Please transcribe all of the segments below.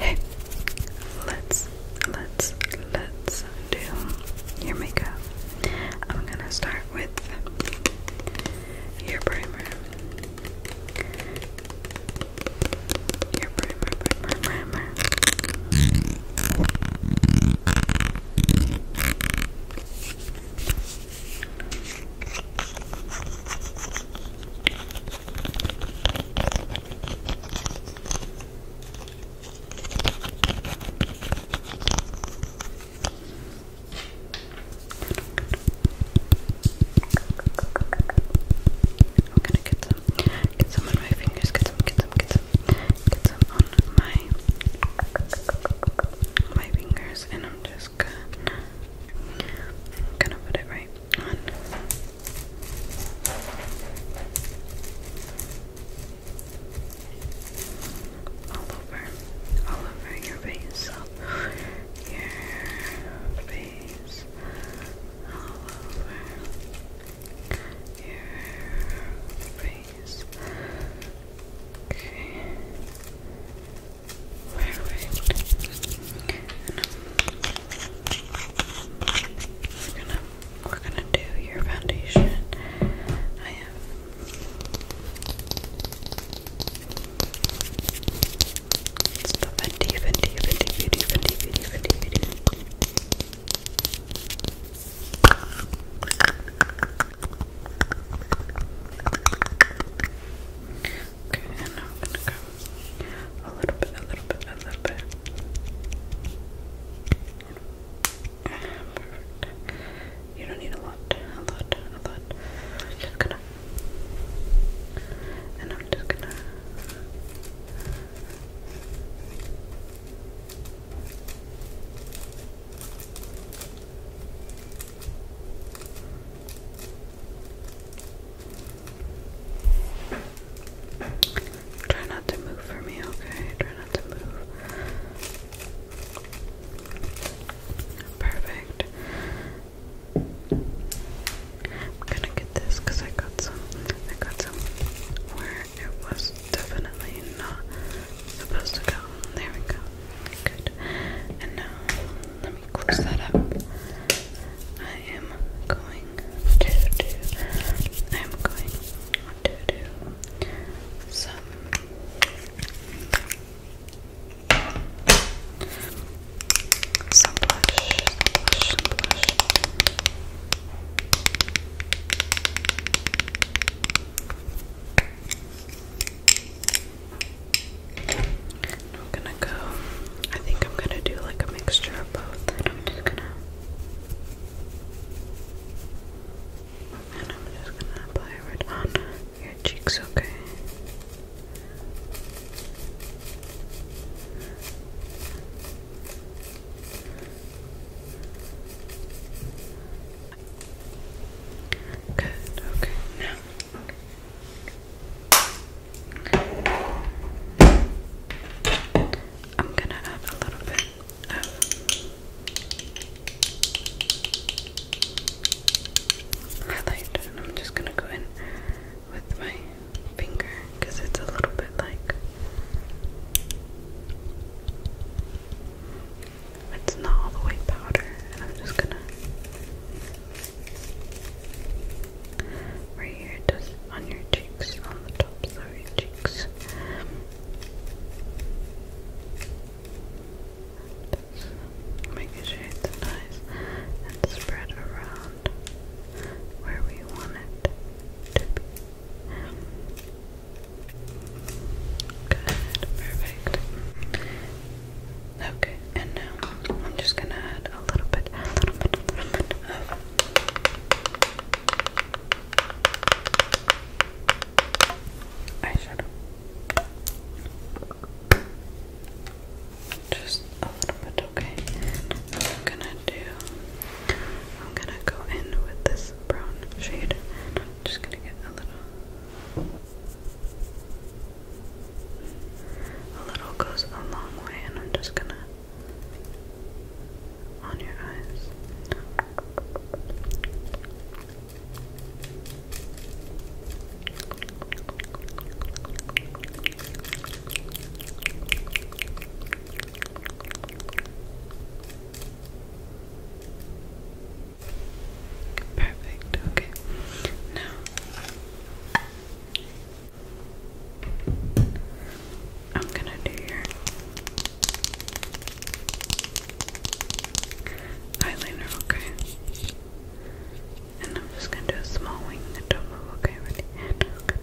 Hey, let's let's let's do your makeup. I'm gonna start with your primer. Your primer, primer, primer. I'm gonna get some, get some on my fingers, get some, get some, get some, get some on my, my fingers, and I'm just gonna, gonna put it right on. All over, all over your face, all your face, all over your face. Okay. We're gonna we're gonna do your foundation. I have Okay, and I'm gonna go a little bit, a little bit, a little bit. You don't need a lot, a lot, a lot. just gonna, and I'm just gonna. Try not to move for me, okay? Try not to move. Perfect. I'm gonna get this because I got some. I got some where it was definitely not supposed to go. There we go. Good. And now let me close that up. I am going to do I am going to do some some blush, some blush, some blush. I'm gonna go. I think I'm gonna do like a mixture of both, and I'm just gonna. apply it on your cheeks, Okay, Good, okay, now. I'm gonna add a little bit of highlight, and I'm just gonna go in with my finger because it's a little bit like it's not all the way powder, and I'm just gonna right here, just on your cheeks, on the tops of cheeks. Just making sure nice and spread around where we want it to be. Good, perfect. Okay, and now I'm just gonna add a little bit, a little bit, a little bit of. Eyeshadow. Just a little bit, okay. I'm gonna do. I'm gonna go in with this brown shade just gonna get a little. A little goes a long way, and I'm just gonna on your eyes. Perfect, okay. Now I'm gonna do your eyeliner, okay? And I'm just gonna do a small wing and the not okay? Ready? And I'm going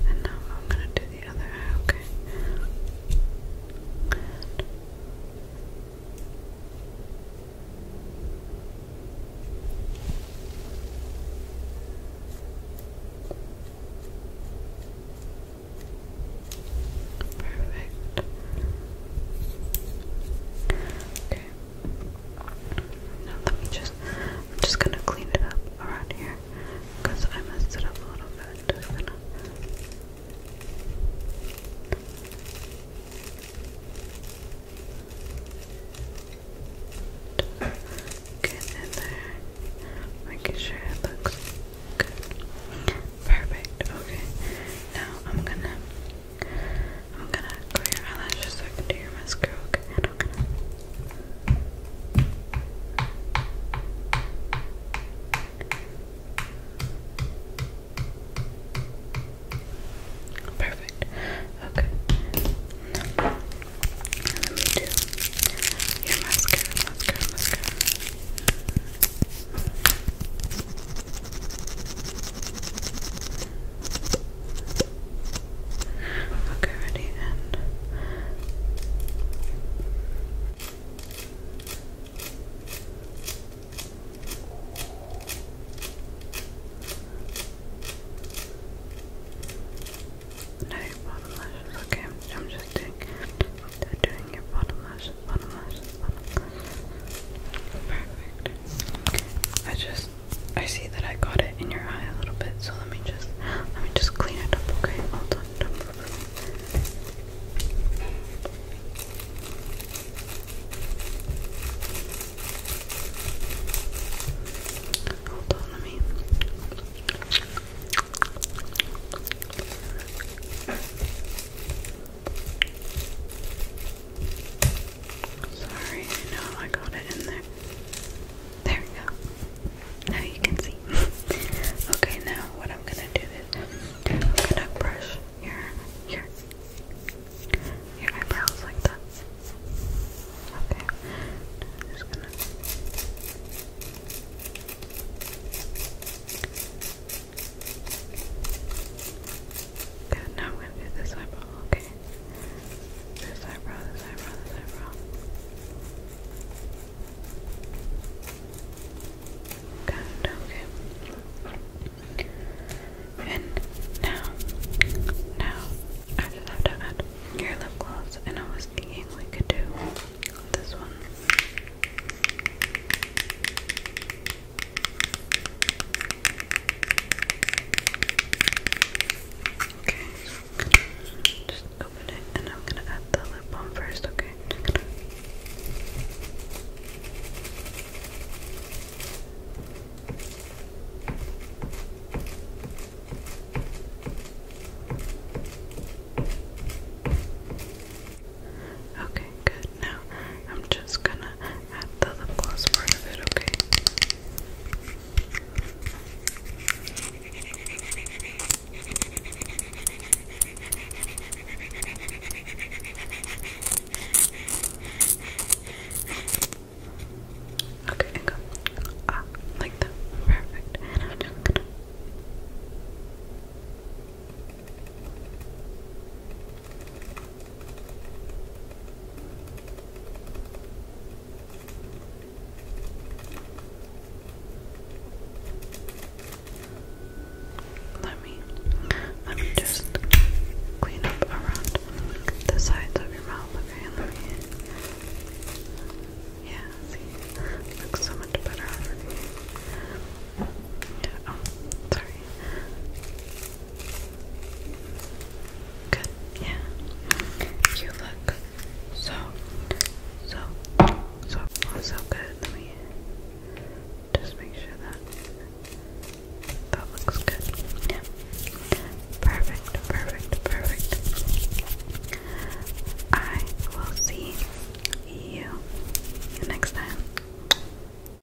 And now I'm gonna do the other eye, okay? Perfect. Okay. Now let me just just gonna clean it up around here because I messed it up a little bit. i gonna get in there, making sure it looks Perfect. Okay. Now I'm gonna I'm gonna clear your eyelashes so I can do your mascara. Perfect. Okay. let me do your mascara. Okay, ready and no bottom lashes. Okay, I'm just doing. They're doing your bottom lashes, bottom lashes, bottom lashes. Perfect. I just I see that I got it in your eye a little bit, so let me just let me just clean it up, okay? Hold on. Hold on, let me Sorry, I know I got it in there. There we go. Now you can see. okay, now what I'm gonna do is I'm gonna brush your your your eyebrows like that. Okay. just gonna Good, now I'm gonna do this eyeball, okay. This eyebrow, this eyebrow, this eyebrow. Got okay. And now, now, I just have to add your lip gloss, and I was thinking we could do this one. Okay, just open it and I'm gonna add the lip balm first, okay? Okay, good. Now I'm just gonna add the lip gloss part of it, okay? Okay, and Ah, like that. Perfect. And i let me let me just clean up around the sides of your mouth, okay? Yeah, Looks so much better already. Yeah, oh, sorry. Good, yeah. You look so, so, so, so good. Let me just make sure that that looks good. Yeah. Perfect, perfect, perfect. I will see you next time.